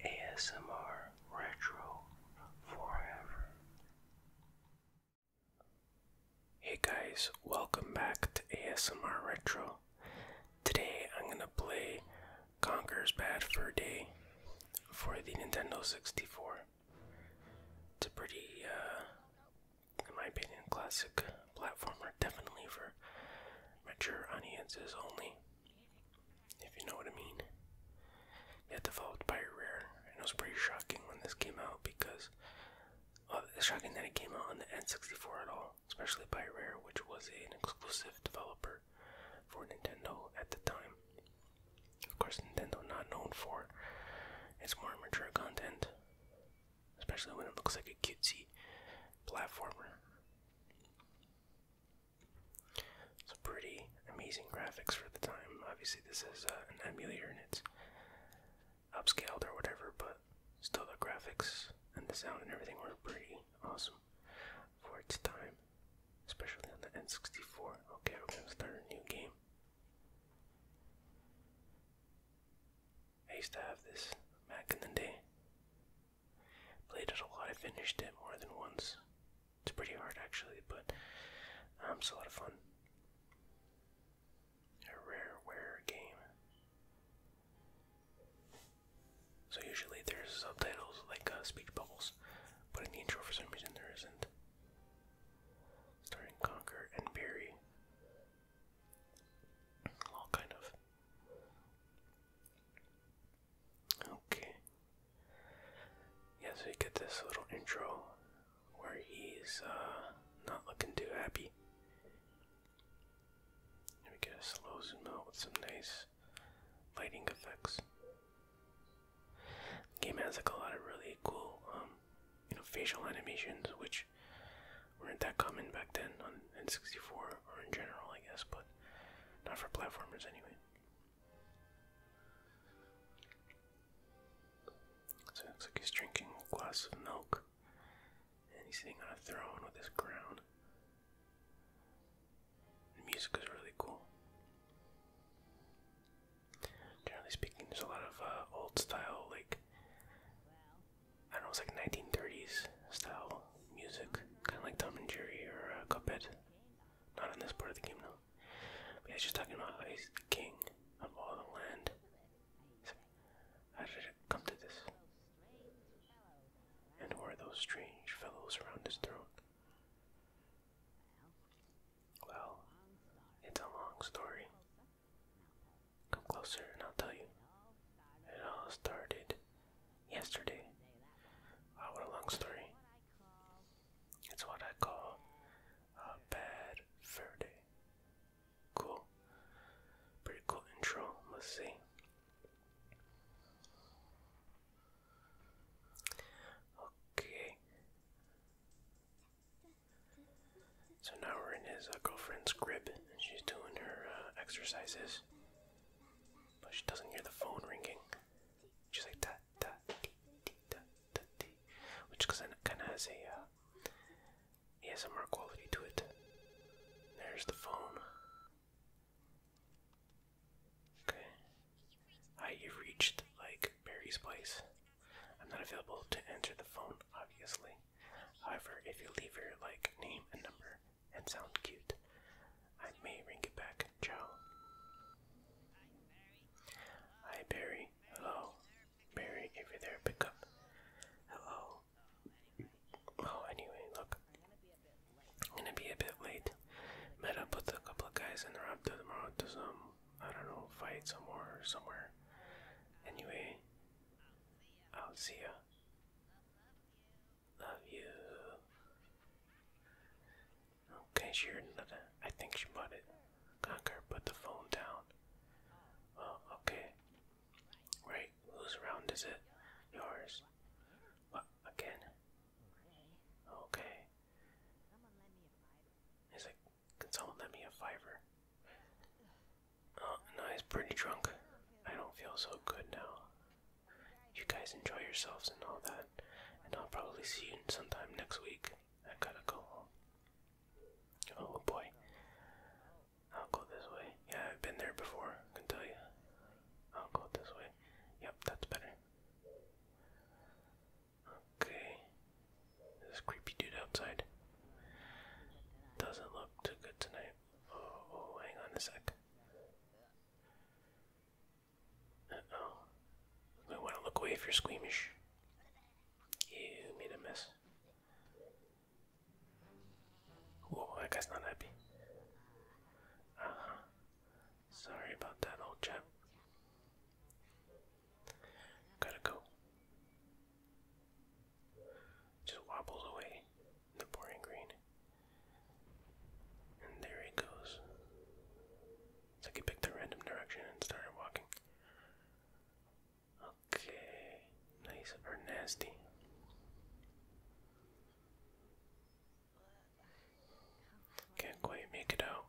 ASMR Retro Forever. Hey guys, welcome back to ASMR Retro. Today I'm gonna play Conker's Bad for Day for the Nintendo 64. It's a pretty, uh, in my opinion, classic platformer, definitely for mature audiences only if you know what I mean. Yeah, developed by Rare, and it was pretty shocking when this came out because uh, it's shocking that it came out on the N64 at all, especially by Rare, which was an exclusive developer for Nintendo at the time. Of course, Nintendo not known for its more mature content, especially when it looks like a cutesy platformer. So pretty amazing graphics for the time. Obviously, this is uh, an emulator and it's upscaled or whatever, but still the graphics and the sound and everything were pretty awesome for its time, especially on the N64. Okay, we're gonna start a new game. I used to have this back in the day. Played it a lot. I finished it more than once. It's pretty hard actually, but um, it's a lot of fun. A rareware game. So usually there's subtitles like uh, speech bubbles, but in the intro for some reason there isn't. Starting Conquer and Bury. Well, kind of. Okay. Yeah, so get this little intro where he's uh, not looking too happy. we get a slow zoom out with some nice lighting effects. The game has like a lot of really cool, um, you know, facial animations, which weren't that common back then on N64 or in general, I guess. But not for platformers, anyway. So it looks like he's drinking a glass of milk. And he's sitting on a throne with his crown. The music is really cool. Generally speaking, there's a lot of uh, old style, like, I don't know, it's like 1930s style music, kind of like Tom and Jerry or uh, Cuphead. Not on this part of the game, though. No. But yeah, she's talking about how he's the king of all the land. how did it come to this? And who are those strange fellows around his throat? Well, it's a long story. Come closer and I'll tell you. It all started yesterday. Wow, uh, what a long story. It's what I call a bad fair day. Cool. Pretty cool intro. Let's see. Okay. So now we're in his uh, girlfriend's crib, and she's doing her uh, exercises but she doesn't hear the phone ringing. She's like da da dee dee da da dee, which kind of has a uh, ASMR quality to it. There's the phone. Okay. Hi, have reached like Barry's place. I'm not available to answer the phone, obviously. However, if you leave your like name and number, and sound cute. I may ring it back. Ciao. Hi, Barry. Hello. Barry, if you're there, pick up. Hello. Oh, anyway, look. I'm gonna be a bit late. Met up with a couple of guys and they're up tomorrow to some, I don't know, fight somewhere somewhere. Anyway, I'll see ya. Love you. Okay, sure. I think she bought it. Conquer, put the phone down. Oh, okay. Right, whose round is it? Yours. What, again? Okay. He's like, can someone lend me a fiver? Oh, no, he's pretty drunk. I don't feel so good now you guys enjoy yourselves and all that. And I'll probably see you sometime next week. I gotta go Oh boy. I'll go this way. Yeah, I've been there before, I can tell you. I'll go this way. Yep, that's better. Okay. This creepy dude outside doesn't look too good tonight. oh, oh hang on a sec. Uh-oh. You want to look away if you're squeamish. You made a mess. Whoa, that guy's not happy. uh Sorry about that, old chap. Gotta go. Just wobbles away the boring green. And there he goes. It's picked a random direction and started walking. Okay, nice or nasty. Can't quite make it out.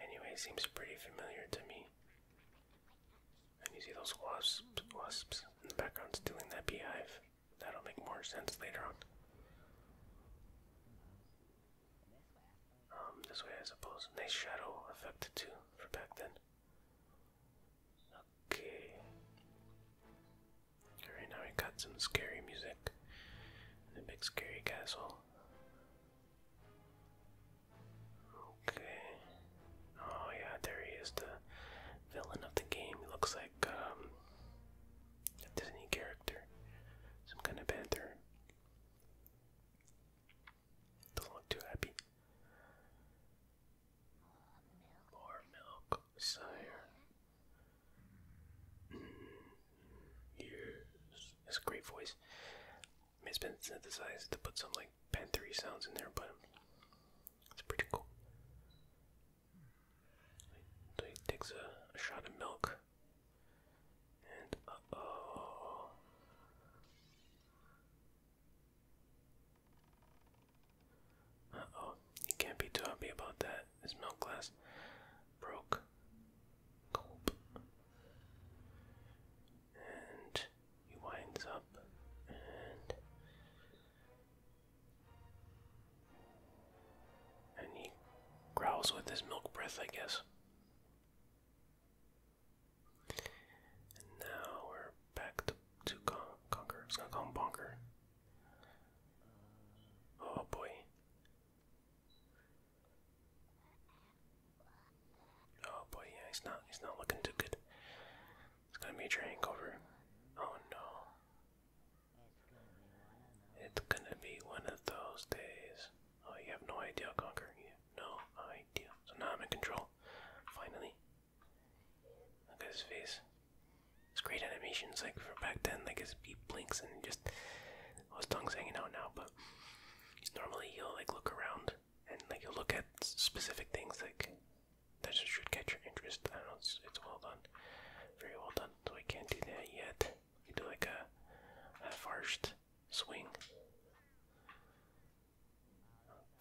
Anyway, seems pretty familiar to me. And you see those wasps, wasps in the background stealing that beehive. That'll make more sense later on. Um, this way I suppose. Nice shadow effect too for back then. Okay. Alright, now we got some scary music. And big scary castle. Okay. Oh yeah, there he is, the villain of the game. He looks like um, a Disney character, some kind of panther. Doesn't look too happy. More milk, sire. Mm, yes, that's a great voice. I it's been synthesized to put some like panthery sounds in there, but it's pretty cool. he takes a, shot of milk. And oh. oh. You can't be too happy about that. His milk glass broke. And he winds up and and he growls with his milk breath, I guess. And now we're back to, to Conquer. I gonna call him Bonker. Oh boy. Oh boy, yeah, he's not he's not looking too good. It's gonna be a train cover. Oh no. It's gonna be one of those days. Oh, you have no idea, Conquer. You have no idea. So now I'm in control. Finally. Look at his face. It's great animations, like from back then, like his beep blinks and just well, oh, his tongue's hanging out now, but normally he'll like look around and like he'll look at specific things like that should catch your interest. I know it's, it's well done, very well done. we can't do that yet. We do like a, a first swing.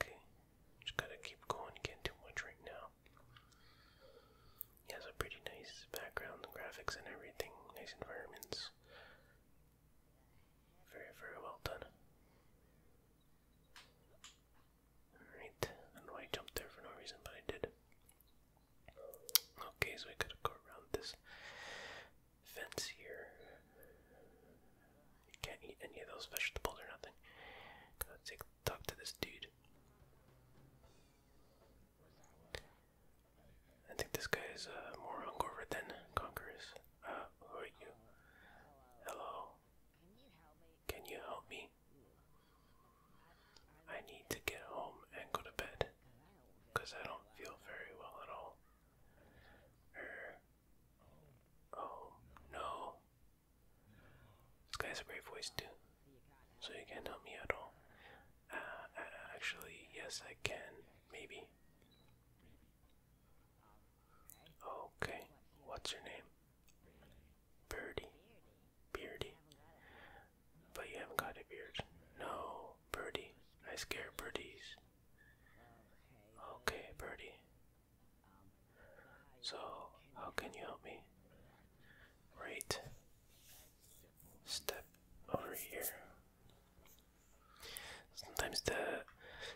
Okay, just gotta keep going. Can't do much right now. He has pretty nice background, graphics, and everything. Nice environments. Very, very well done. Alright, I don't know why I jumped there for no reason, but I did. Okay, so I gotta go around this fence here. can't eat any of those vegetables or nothing. Gotta talk to this dude. I think this guy is uh, more hungover than Conquerors. Uh, who are you? Hello. Can you help me? I need to get home and go to bed because I don't feel very well at all. Er. Oh no. This guy's a great voice too. So you can't help me at all. Uh, actually, yes, I can. Maybe. Okay. What's your name? Birdie. Birdie, But you haven't got a beard. No, birdie. I scare birdies. Okay, birdie. So, how can you help me? Right. Step over here. Sometimes the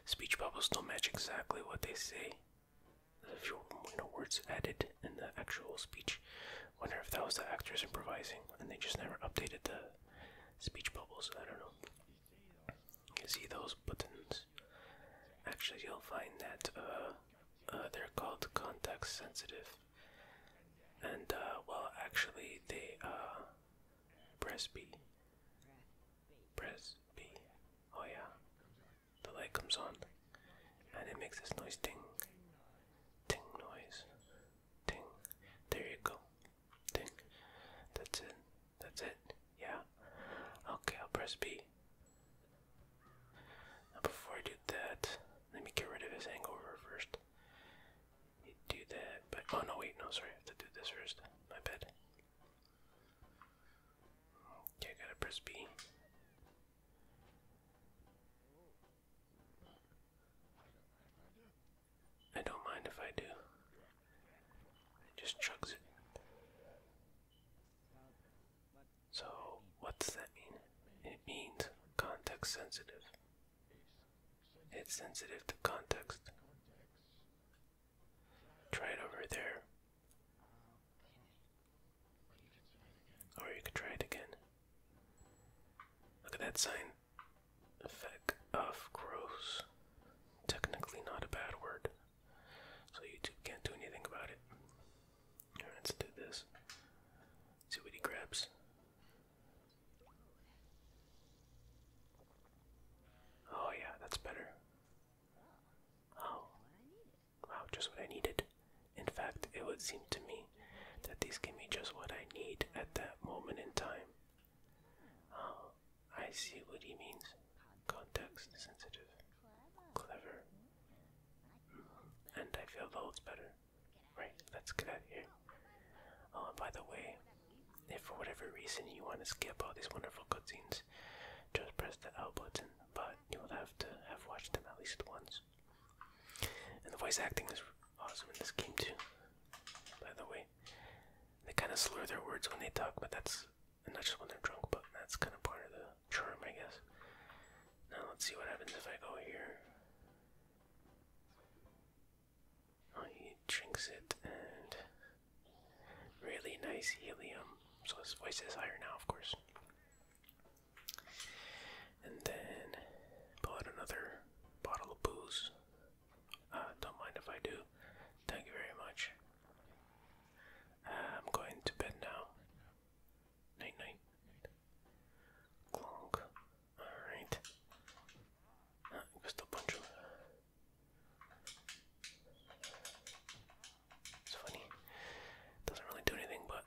speech bubbles don't match exactly what they say a few you know, words added in the actual speech. Wonder if that was the actors improvising and they just never updated the speech bubbles. I don't know. You see those buttons? Actually, you'll find that uh, uh, they're called context sensitive, and uh, well, actually, they uh, press B. Press B. Oh yeah the light comes on and it makes this noise ting ting noise ting there you go ting that's it that's it yeah okay I'll press B now before I do that let me get rid of his hangover first do that but oh no wait no sorry I have to do this first my bad Okay, gotta press B. I don't mind if I do. It just chugs it. So, what does that mean? It means context sensitive. It's sensitive to context. Try it over there. Or you could try it again. Look at that sign. Effect of gross. Technically not a bad word. So YouTube can't do anything about it. let's do this. See what he grabs. Oh yeah, that's better. Oh, wow, just what I needed. In fact, it would seem to me that these give me just what I need at that moment in time. Oh, I see what he means. Context sensitive. Clever. and I feel loads better. Right, let's get out here. Oh, and by the way, if for whatever reason you want to skip all these wonderful cutscenes, just press the L button but you will have to have watched them at least once. And the voice acting is awesome in this game too. By the way, they kind of slur their words when they talk, but that's not just when they're drunk, but that's kind of part of the charm, I guess. Now let's see what happens if I go here. Oh, he it and Really nice helium. So his voice is higher now, of course. And then pull out another bottle of booze. Uh, don't mind if I do. Thank you very much. Uh, I'm going to bed now. Night night. Clonk. Alright. Uh, just a bunch of it's funny. Doesn't really do anything, but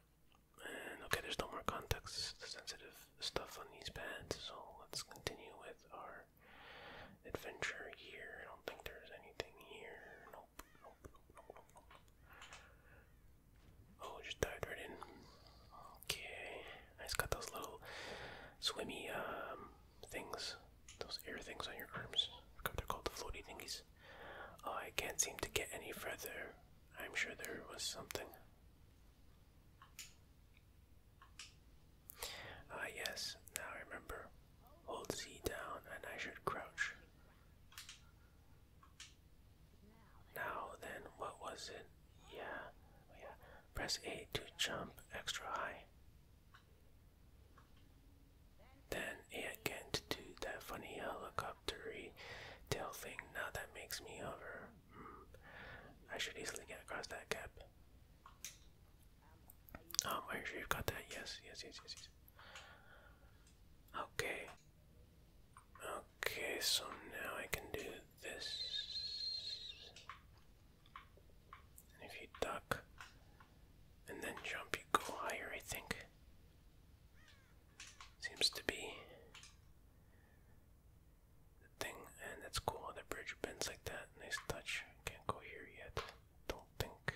okay, there's no more context sensitive stuff on these pads, so let's continue with our adventure here. I don't think there's anything here. Nope, nope, nope, nope, nope, Oh, just dived right in. Okay, I just got those little swimmy um, things, those air things on your arms. I they're called the floaty thingies. I can't seem to get any further. I'm sure there was something. Ah, yes, now I remember. Hold Z down and I should crouch. Now then, what was it? Yeah, oh, yeah. Press A to jump extra high. Then it can do that funny helicoptery tail thing now that makes me hover. Hmm. I should easily get across that gap. Um, are you have got that? Yes, yes, yes, yes, yes. Okay. Okay, so now I can do this. And if you duck and then jump, you go higher, I think. Seems to be the thing. And that's cool, the bridge bends like that. Nice touch. Can't go here yet. Don't think.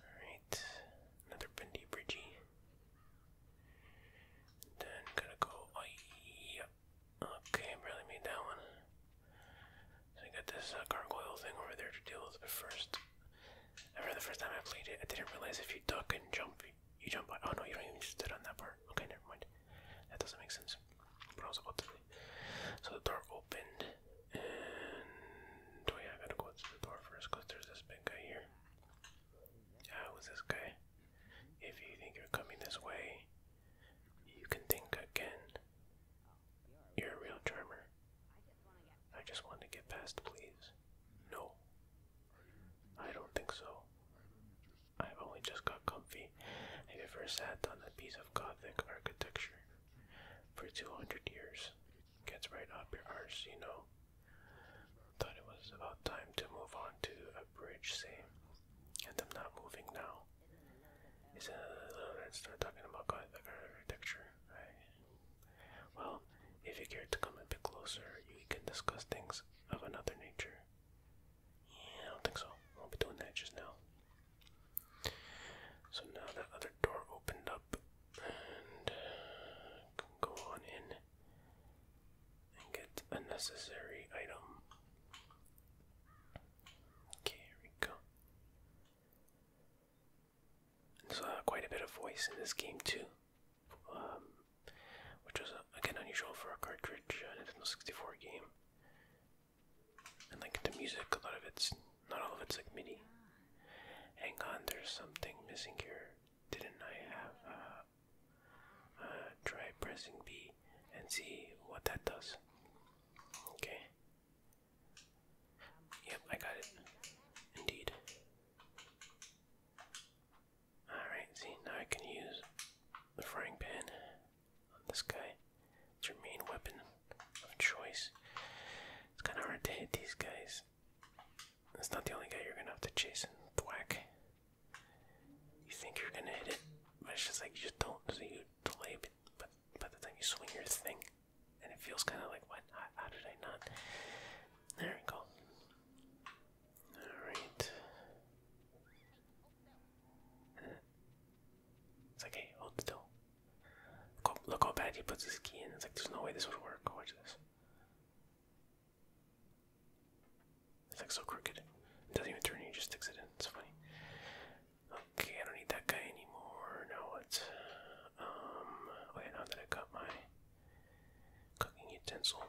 Alright. Another bendy bridgey. Then gotta go. Oh, Okay, barely made that one. I got this uh, gargoyle thing over there to deal with. But first, I remember the first time I played it, I didn't realize if you duck and jump, you jump. By, oh no, you don't even stood on that part. Okay, never mind. That doesn't make sense. But I was about to say. So the door opened, and oh yeah, I gotta go through the door first because there's this big guy here. Yeah, who's this guy? If you think you're coming this way, you can think again. You're a real charmer. I just want to get past, please. No. I don't think so. I've only just got comfy. i Have you ever sat on a piece of Gothic architecture for 200 years? Gets right up your arse, you know? Thought it was about time to move on to a bridge, say. And I'm not moving now is a little red start talking about God, like architecture, right? Well, if you care to come a bit closer, we can discuss things of another nature. Yeah, I don't think so. I will be doing that just now. So now that other door opened up, and uh, go on in and get a necessary item. Okay, here we go. There's uh, quite a bit of voice in this game too, um, which was uh, again unusual for a cartridge uh, Nintendo 64 game. And like the music, a lot of it's not all of it's like MIDI. Hang on, there's something missing here. Didn't I have? uh, try pressing B and see what that does. Okay. Yep, I got it. Indeed. Alright, see, now I can use the frying pan on this guy. It's your main weapon of choice. It's kind of hard to hit these guys. That's not the only guy you're gonna have to chase thwack. You think you're gonna hit it, but it's just like you just don't, the but, by the time you swing your thing, and it feels kind of like, what? How, how did I not? There we go. Alright. It's like, hold still. Look how, look how bad he puts his key in. It's like, there's no way this would work. Watch this. It's like so crooked. It doesn't even turn, he just sticks it in. It's funny. Okay, I don't need that guy anymore. Now what? Um, okay, now that I got my cooking utensil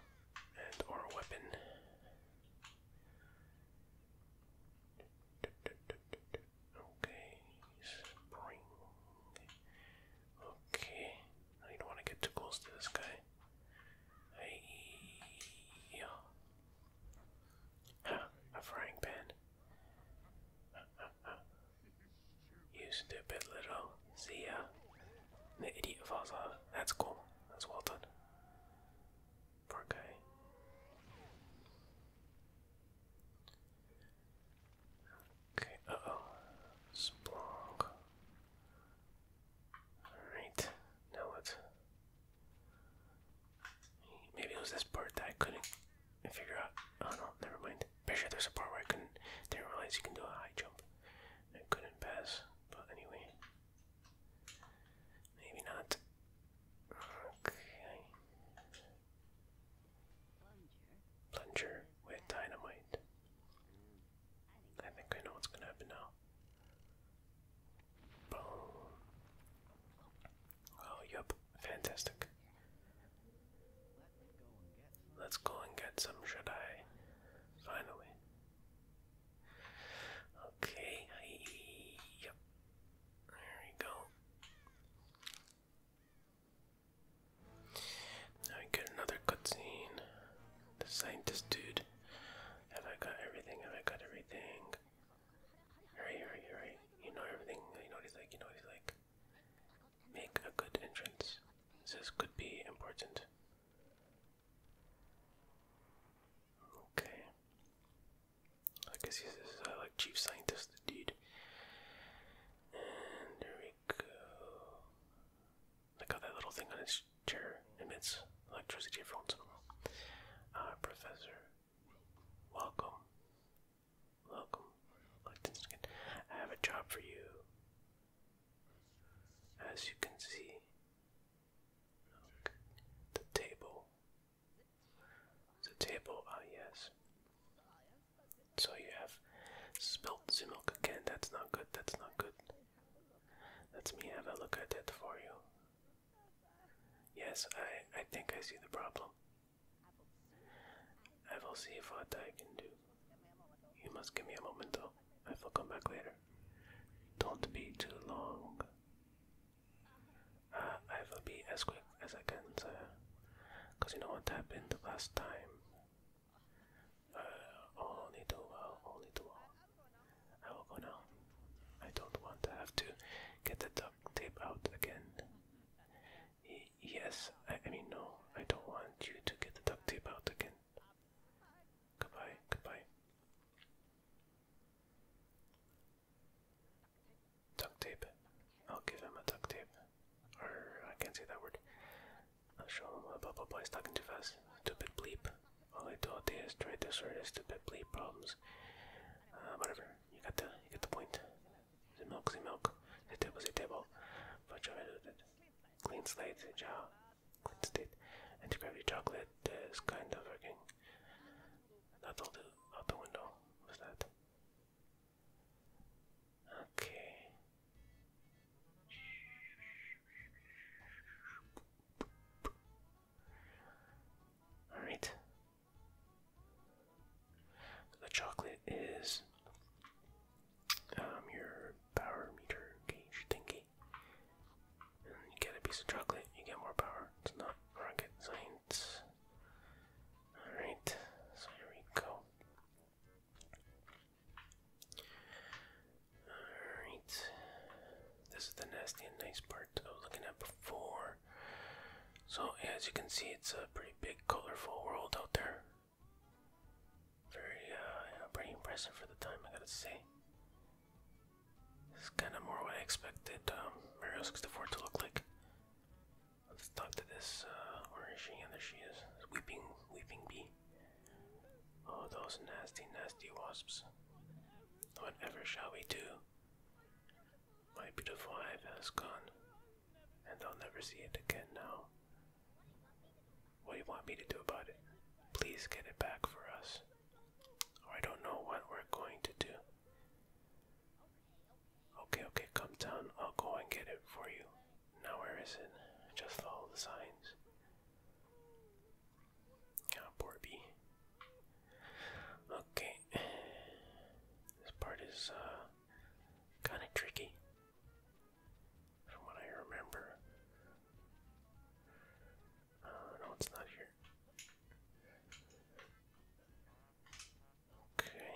and or weapon. Okay, spring. Okay, I don't want to get too close to this guy. Hey, yeah. Huh, ah, a frying pan. You stupid little. zia, The idiot falls off. That's cool. That's well done. Poor Okay, uh oh. Splonk. Alright, now let Maybe it was this part that I couldn't figure out. Oh no, never mind. Pretty sure there's a part where I couldn't didn't realize you can do a high jump. I couldn't pass, but anyway. Maybe not. Okay. Plunger with dynamite. I think I know what's gonna happen now. Oh, yep. Fantastic. Let's go and get some Jedi. Finally. Okay, yep. There we go. Now we get another cutscene. The scientist dude. Have I got everything? Have I got everything? Hurry, hurry, hurry. You know everything. You know what he's like. You know what he's like. Make a good entrance. This could be important. Okay. I guess he's this like chief scientist, dude. And there we go. Look how that little thing on his chair emits electricity every once in ah, professor. Welcome. Welcome. I have a job for you. As you can see, the table. The table, ah, yes. So you have spilt some milk again. That's not good. That's not good. Let us me have a look at it for you. Yes, I, I think I see the problem. I will see what I can do. You must give me a moment, though. I will come back later. Don't be too long. Uh, I will be as quick as I can, sir. Because you know what happened last time? Uh, only too only too I will go now. I don't want to have to get the duct tape out again. yes, I, mean, no, I don't want you to get the duct tape out again. Goodbye, goodbye. Duct tape. I'll give him a duct tape. Or, I can't say that word. I'll show him what blah blah blah, he's talking too fast. Stupid bleep. All I do all is try to sort of stupid bleep problems. Uh, whatever. You got the you got the point. The milk, the milk. The table, the table. But try to it. Clean slate, the jaw. Clean And the gravity chocolate is kind of working. That's all the out the window. was that? Okay. Alright. The chocolate is um, your power meter gauge thingy. you get a piece of chocolate, you get more power. It's not rocket science. Alright, here we go. Alright, this is the nasty and nice part I was looking at before. So, as you can see, it's a pretty big, colorful world out there. Very, uh, pretty impressive for the time, I gotta see. This is kind of more what I expected um, Mario 64 to look like. Let's talk to this, where is she? there she is. Weeping, weeping bee. Oh, those nasty, nasty wasps. Whatever shall we do? My beautiful hive has gone, and I'll never see it again now. What do you want me to do about it? Please get it back for us. Or I don't know what we're going to do. Okay, okay, come down. I'll go and get it for you. Now, where is it? Just follow the signs. Oh, poor Okay. This part is uh, kind of tricky, from what I remember. Uh, no, it's not here. Okay.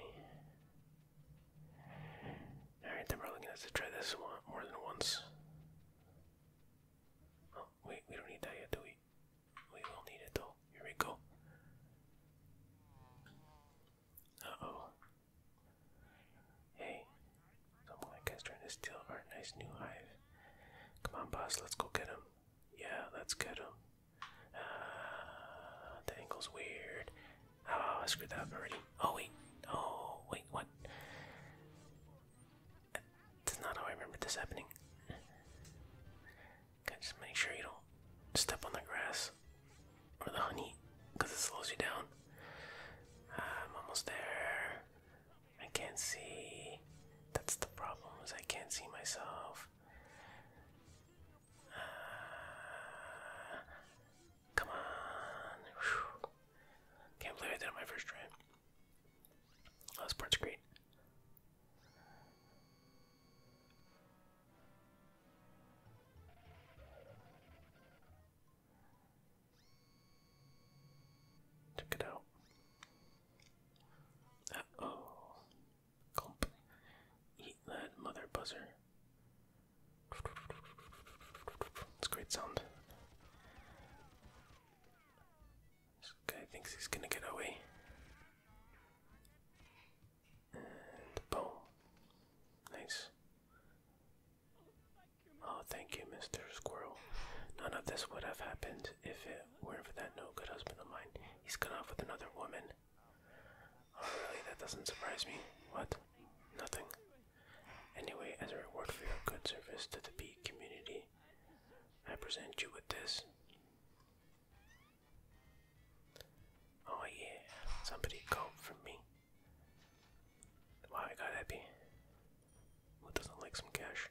Alright, then we're looking at to try this one more than once. Oh, wait, we don't need that yet, do we? We will need it though. Here we go. Uh oh. Hey. Someone trying to steal our nice new hive. Come on, boss. Let's go get him. Yeah, let's get him. Uh, ah, the angle's weird. Oh, I screwed that already. Oh, wait. Oh, wait, what? That's not how I remember this happening just make sure you don't step on the grass or the honey because it slows you down. I'm almost there. I can't see. That's the problem is I can't see myself. Ah, come on. Can't believe I did my first try. Oh, that's part screen. Check it out. Uh oh. Clump. Eat that mother buzzer. It's great sound. This guy thinks he's gonna get away. And boom. Nice. Oh, thank you, Mr. Squirrel. None of this would have happened if it weren't for that no good husband of mine. He's gone off with another woman. Oh, really? That doesn't surprise me. What? Nothing. Anyway, as a reward for your good service to the bee community, I present you with this. Oh yeah, somebody go for me. Wow, I got happy. Who doesn't like some cash?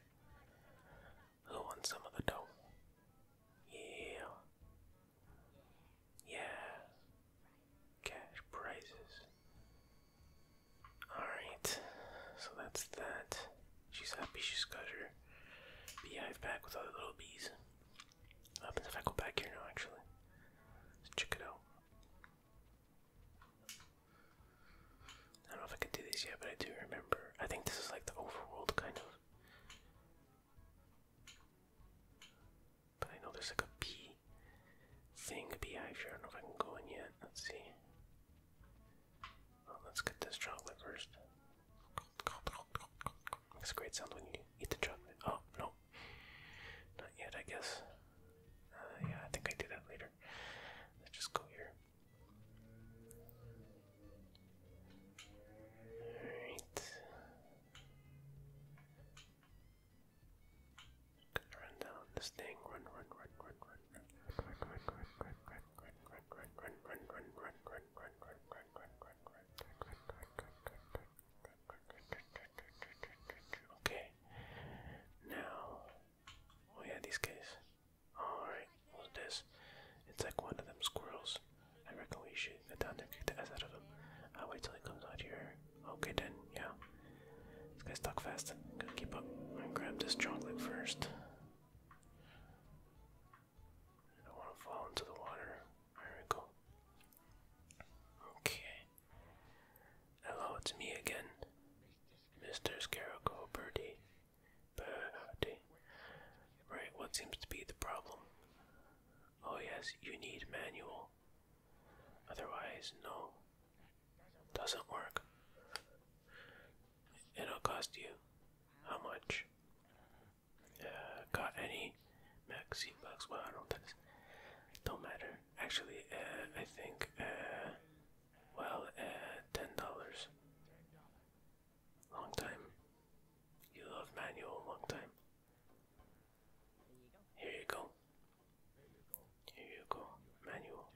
Who wants some of the dough? Yeah. Yeah. Cash prizes. Alright, so that's that. She's happy she's got her beehive back with other little bees. What happens if I go back here now, actually? Let's check it out. I don't know if I can do this yet, but I do remember. I think this is like the overworld kind of. But I know there's like a bee thing, beehive here. I don't know if I can go in yet. Let's see. Oh, let's get this chocolate first. Makes a great sound when you eat the chocolate. Oh, no. Not yet, I guess. Uh, yeah, I think I do that later. Let's just go here. Alright. run down this thing. Run, run, run, run, run. Okay. Now, oh yeah, these guys. All right, what's this? It's like one of them squirrels. I reckon we should get down there, kick the ass out of him. I'll wait till he comes out here. Okay then, yeah. This guy's stuck fast. Gotta keep up. i grab this chocolate first. I don't want to fall into the water. There Okay. Hello, it's me again, Mr. Scarecrow Birdie. Birdie. Right, what seems to be the problem? Oh, yes, you need manual. Otherwise, no. Doesn't work it'll cost you how much? Uh, got any maxi bucks? Well, I don't think do matter. Actually, uh, I think uh, well, uh, ten dollars. Long time. You love manual. Long time. Here you go. Here you go. Manual.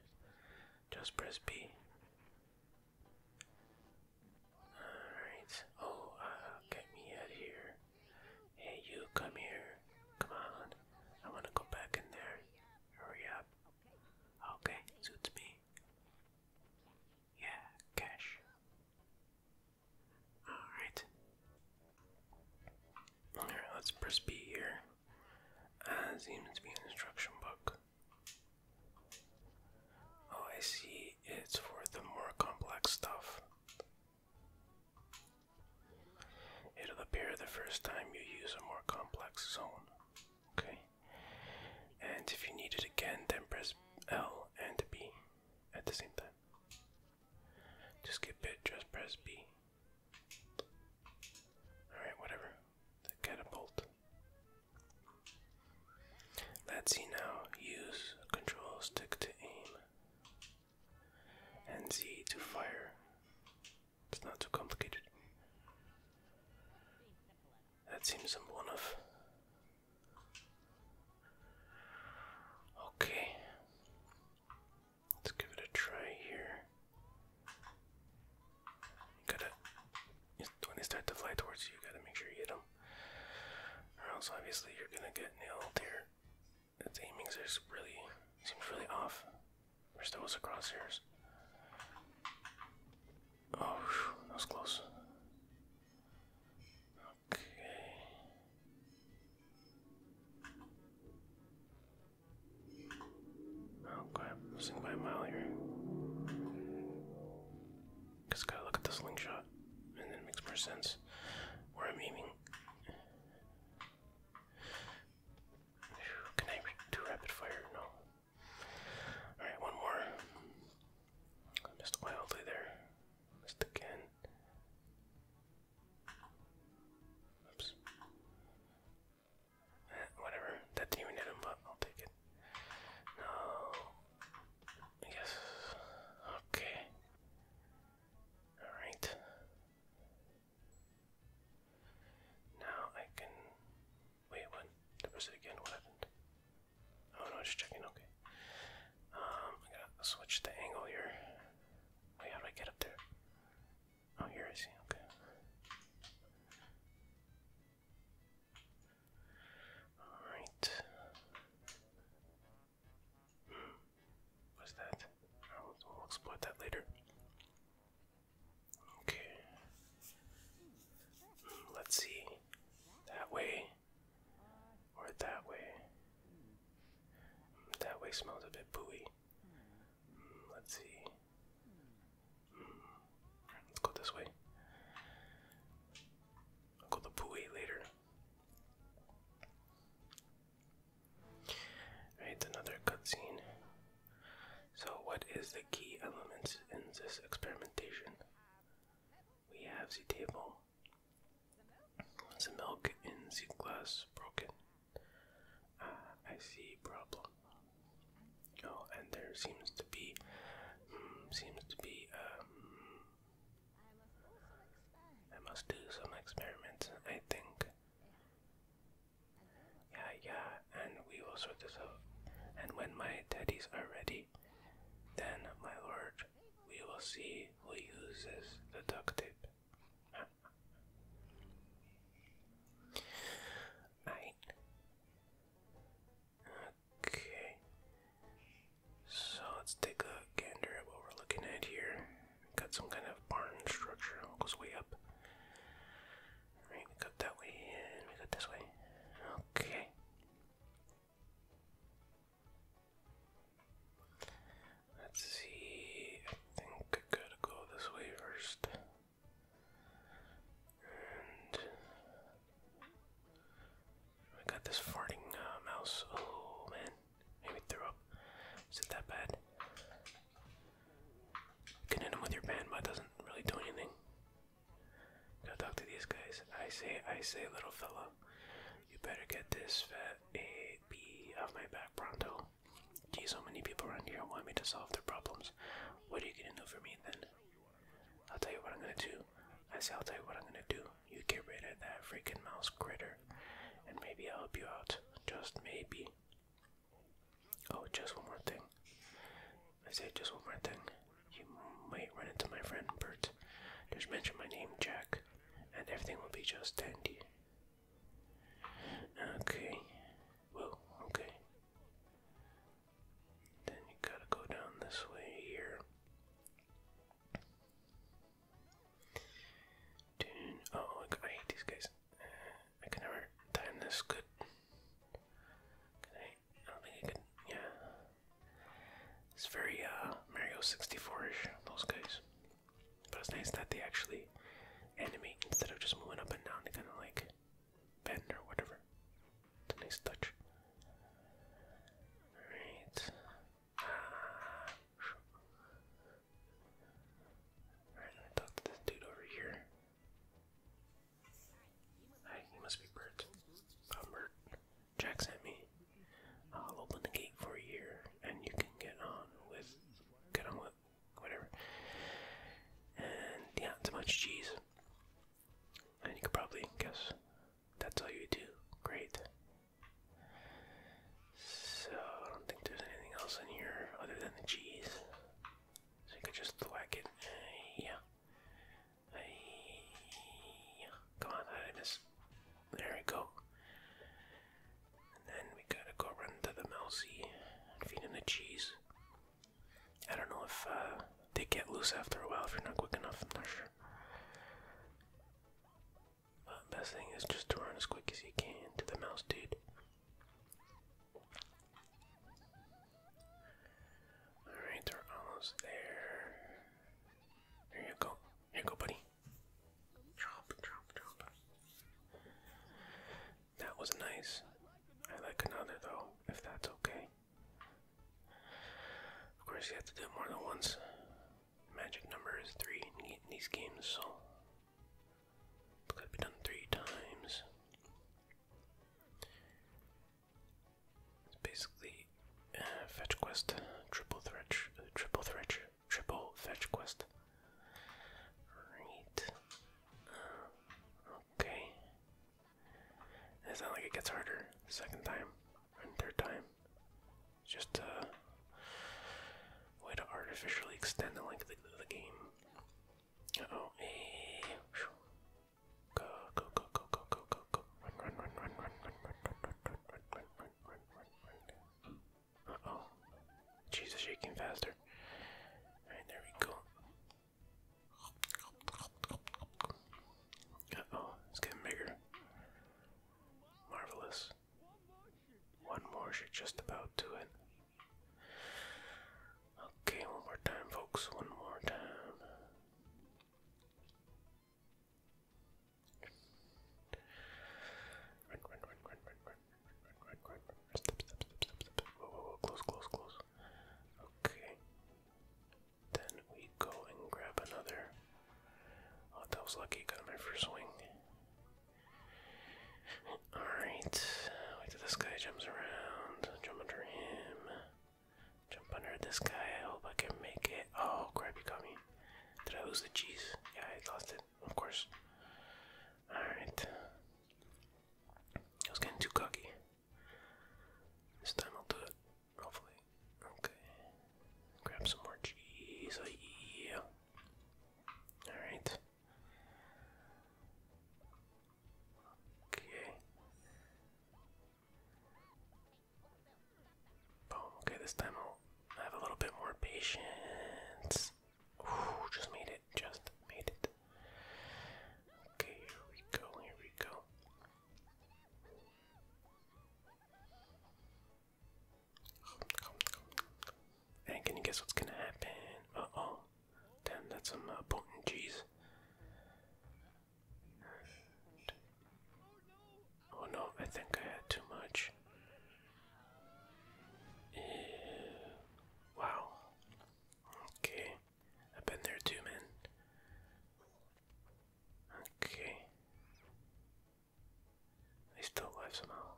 Just press B. Alright. Oh, uh, get me out of here. Hey, you, come here. Come on. I want to go back in there. Hurry up. Okay, suits me. Yeah, cash. Alright. Alright, let's press B here. As seems to be an instruction book. Oh, I see. It's for the more complex stuff. It'll appear the first time you use a more complex zone. Okay. And if you need it again, then press L and B at the same time. To skip it, just press B. Alright, whatever the catapult. Let's see now. Use control stick to aim and Z to fire. It's not too complicated. That seems I'm one Okay. Let's give it a try here. Gotta when they start to fly towards you, you gotta make sure you hit them, or else obviously you're gonna get nailed here. Its aiming is really seems really off. We're still with the crosshairs. Oh, whew, that was close. Okay. Okay, I'm losing by a mile here. Cause gotta look at the slingshot, and then it makes more sense where I'm aiming. Can I do rapid fire? No. Alright, one more. missed wildly there. Missed again. Oops. Whatever. That didn't hit him, but I'll take it. No. I Okay. Alright. Now I can. Wait, what? There was it again. What happened? Oh no, just checking. Okay. Um, I gotta switch the angle here. Wait, how do I get up there? Oh, here I see. Okay. All right. Hmm. that? we'll exploit that later. Okay. Hmm, let's see. That way, or that way. Hmm, that way smells a bit booey. Hmm, let's see let's go this way. go the poo later. Alright, another cutscene. So what is the key elements in this experimentation? We have the table. The milk in the glass broken. Ah, I see problem. Oh, and there seems to be, hmm, seems to be, um, I must do some experiments, I think. Yeah, yeah, and we will sort this out. And when my teddies are ready, then, my lord, we will see who uses the duct tape. I Okay. So let's take a gander at what we're looking at here. Got some kind of barn structure. goes way up. Right, we got that way and we got this way. Okay. Let's see. I think I gotta go this way first. I got this farting uh, mouse. Oh man, maybe threw up. Is it that bad? can hit him with your band, but doesn't really do anything. Gotta talk to these guys. I say, I say, little fella, you better get this fat A B off my back pronto. Geez, so many people around here want me to solve their problems. What are you gonna do for me then? I'll tell you what I'm gonna do. I say I'll tell you what I'm gonna do. You get rid of that freaking mouse critter, and maybe I'll help you out. Just maybe. Oh, just one more thing. I say just one more thing. You might run into my friend Bert. Just mention my name, Jack, and everything will be just dandy. Okay. Well, okay. Then you gotta go down this way here. Oh, I hate these guys. I can never time this good. Can I? don't think I can. Yeah. It's very uh, Mario 64-ish, those guys. But it's nice that they actually animate instead of just moving up and down. They kind of like bend or whatever. It's a nice touch. Alright. Alright, let me talk to this dude over here. Hi, you must be Bert. I'm um, Bert. Jack sent me. I'll open the gate for a and you can get on with get on with whatever. And yeah, it's a bunch of cheese. And you could probably guess that's all you do. Great. So I don't think there's anything else in here other than the cheese. So you could just whack it. Uh, yeah. Uh, yeah. Come on, I There we go. And then we gotta go run to the mousey and feed him the cheese. I don't know if uh, they get loose after a while if you're not quick enough. I'm not sure. But best thing is just to run as quick as you can to the mouse, dude. Alright, we're almost there. There you go. Here you go, buddy. Drop, drop, drop. That was nice. I like another though, if that's okay. Of course, you have to do more than once. Magic number is three in these games, so it be done three times. basically uh, fetch quest, triple threat, uh, triple threat, triple fetch quest. Right. Uh, okay. And it's not like it gets harder second time and third time. It's just a way to artificially extend the length of the, game. oh, Go, go, go, go, go, go, go, go. Run, run, run, run, run, run, run, run, run, run, run, run, run, run, run, run. Uh Jesus, shaking faster. there we go oh, it's getting bigger. Marvelous. One more she's just about to it. Okay, one more time, folks. One more time. Run, run, run, run, run, run, run, run, run, run, run, run, run, run, run, run, run, run, run, Okay. Then we go and grab another. Oh, was lucky. Got my first swing. Alright. Wait till this guy jumps around. Jump under him. Jump under this guy. I hope I can make it. Oh, crap, you got me. Did I the cheese? Yeah, I lost it. Of course. Alright. I was getting too cocky. This time I'll do it, hopefully. Okay. Grab some more cheese. Oh, yeah. Alright. Okay. Boom. Okay, this time I'll have a little bit more patience. just made it. Just made it. Okay, here we go, here we go. And can you guess what's gonna happen? Uh oh. Damn, that's some uh, potent cheese. Oh no, I think I had too much. Eh, wow. Okay. I've been there too, man. Okay. He's still alive somehow.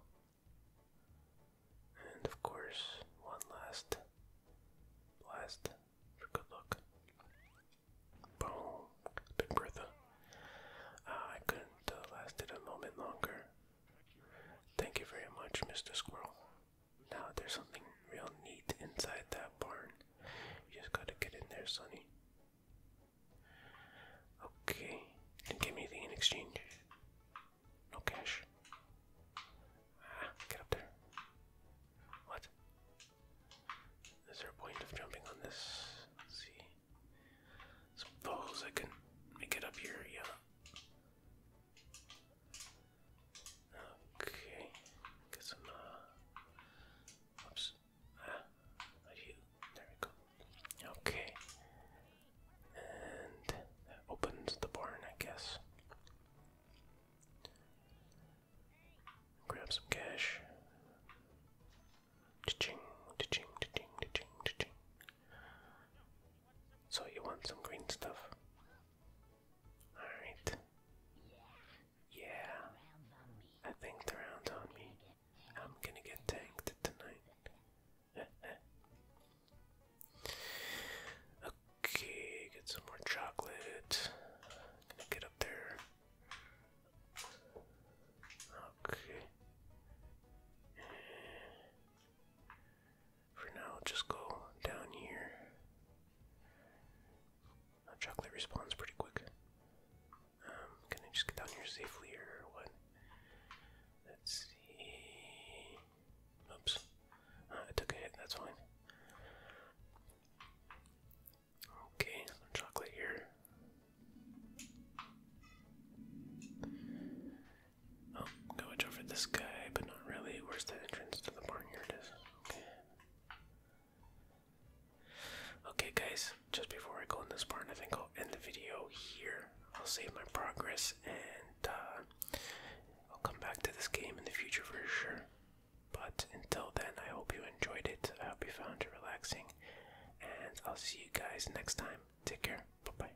And of course, one last blast for good luck. Boom. Big Bertha. Ah, I couldn't uh, last it a moment longer. Thank you very much, Mr. Squirrel. Now there's something real neat inside that barn. You just gotta get in there, Sonny. Okay. Didn't give me anything in exchange. No cash. Ah, get up there. What? Is there a point of jumping on this? see. Suppose I can make it up here, yeah. Okay, get some. Uh, oops. Ah, There we go. Okay, and opens the barn, I guess. Grab some cash. Cha-ching, cha-ching, cha So you want some green stuff? Alright. Yeah. I think the round's on me. I'm gonna get tanked tonight. okay, get some more chocolate. Gonna get up there. Okay. For now, just go down here. chocolate responds pretty quick. Um, can I just get down here safely or what? Let's see. Oops. Uh, I took a hit, that's fine. Okay, some chocolate here. Oh, go edge over this guy, but not really. Where's the entrance to the barnyard? Here Okay. Okay, guys, just before I go in this barn, I think I'll end the video here. I'll save my progress and uh, I'll come back to this game in the future for sure. But until then, I hope you enjoyed it. I hope you found it relaxing. And I'll see you guys next time. Take care. Bye bye.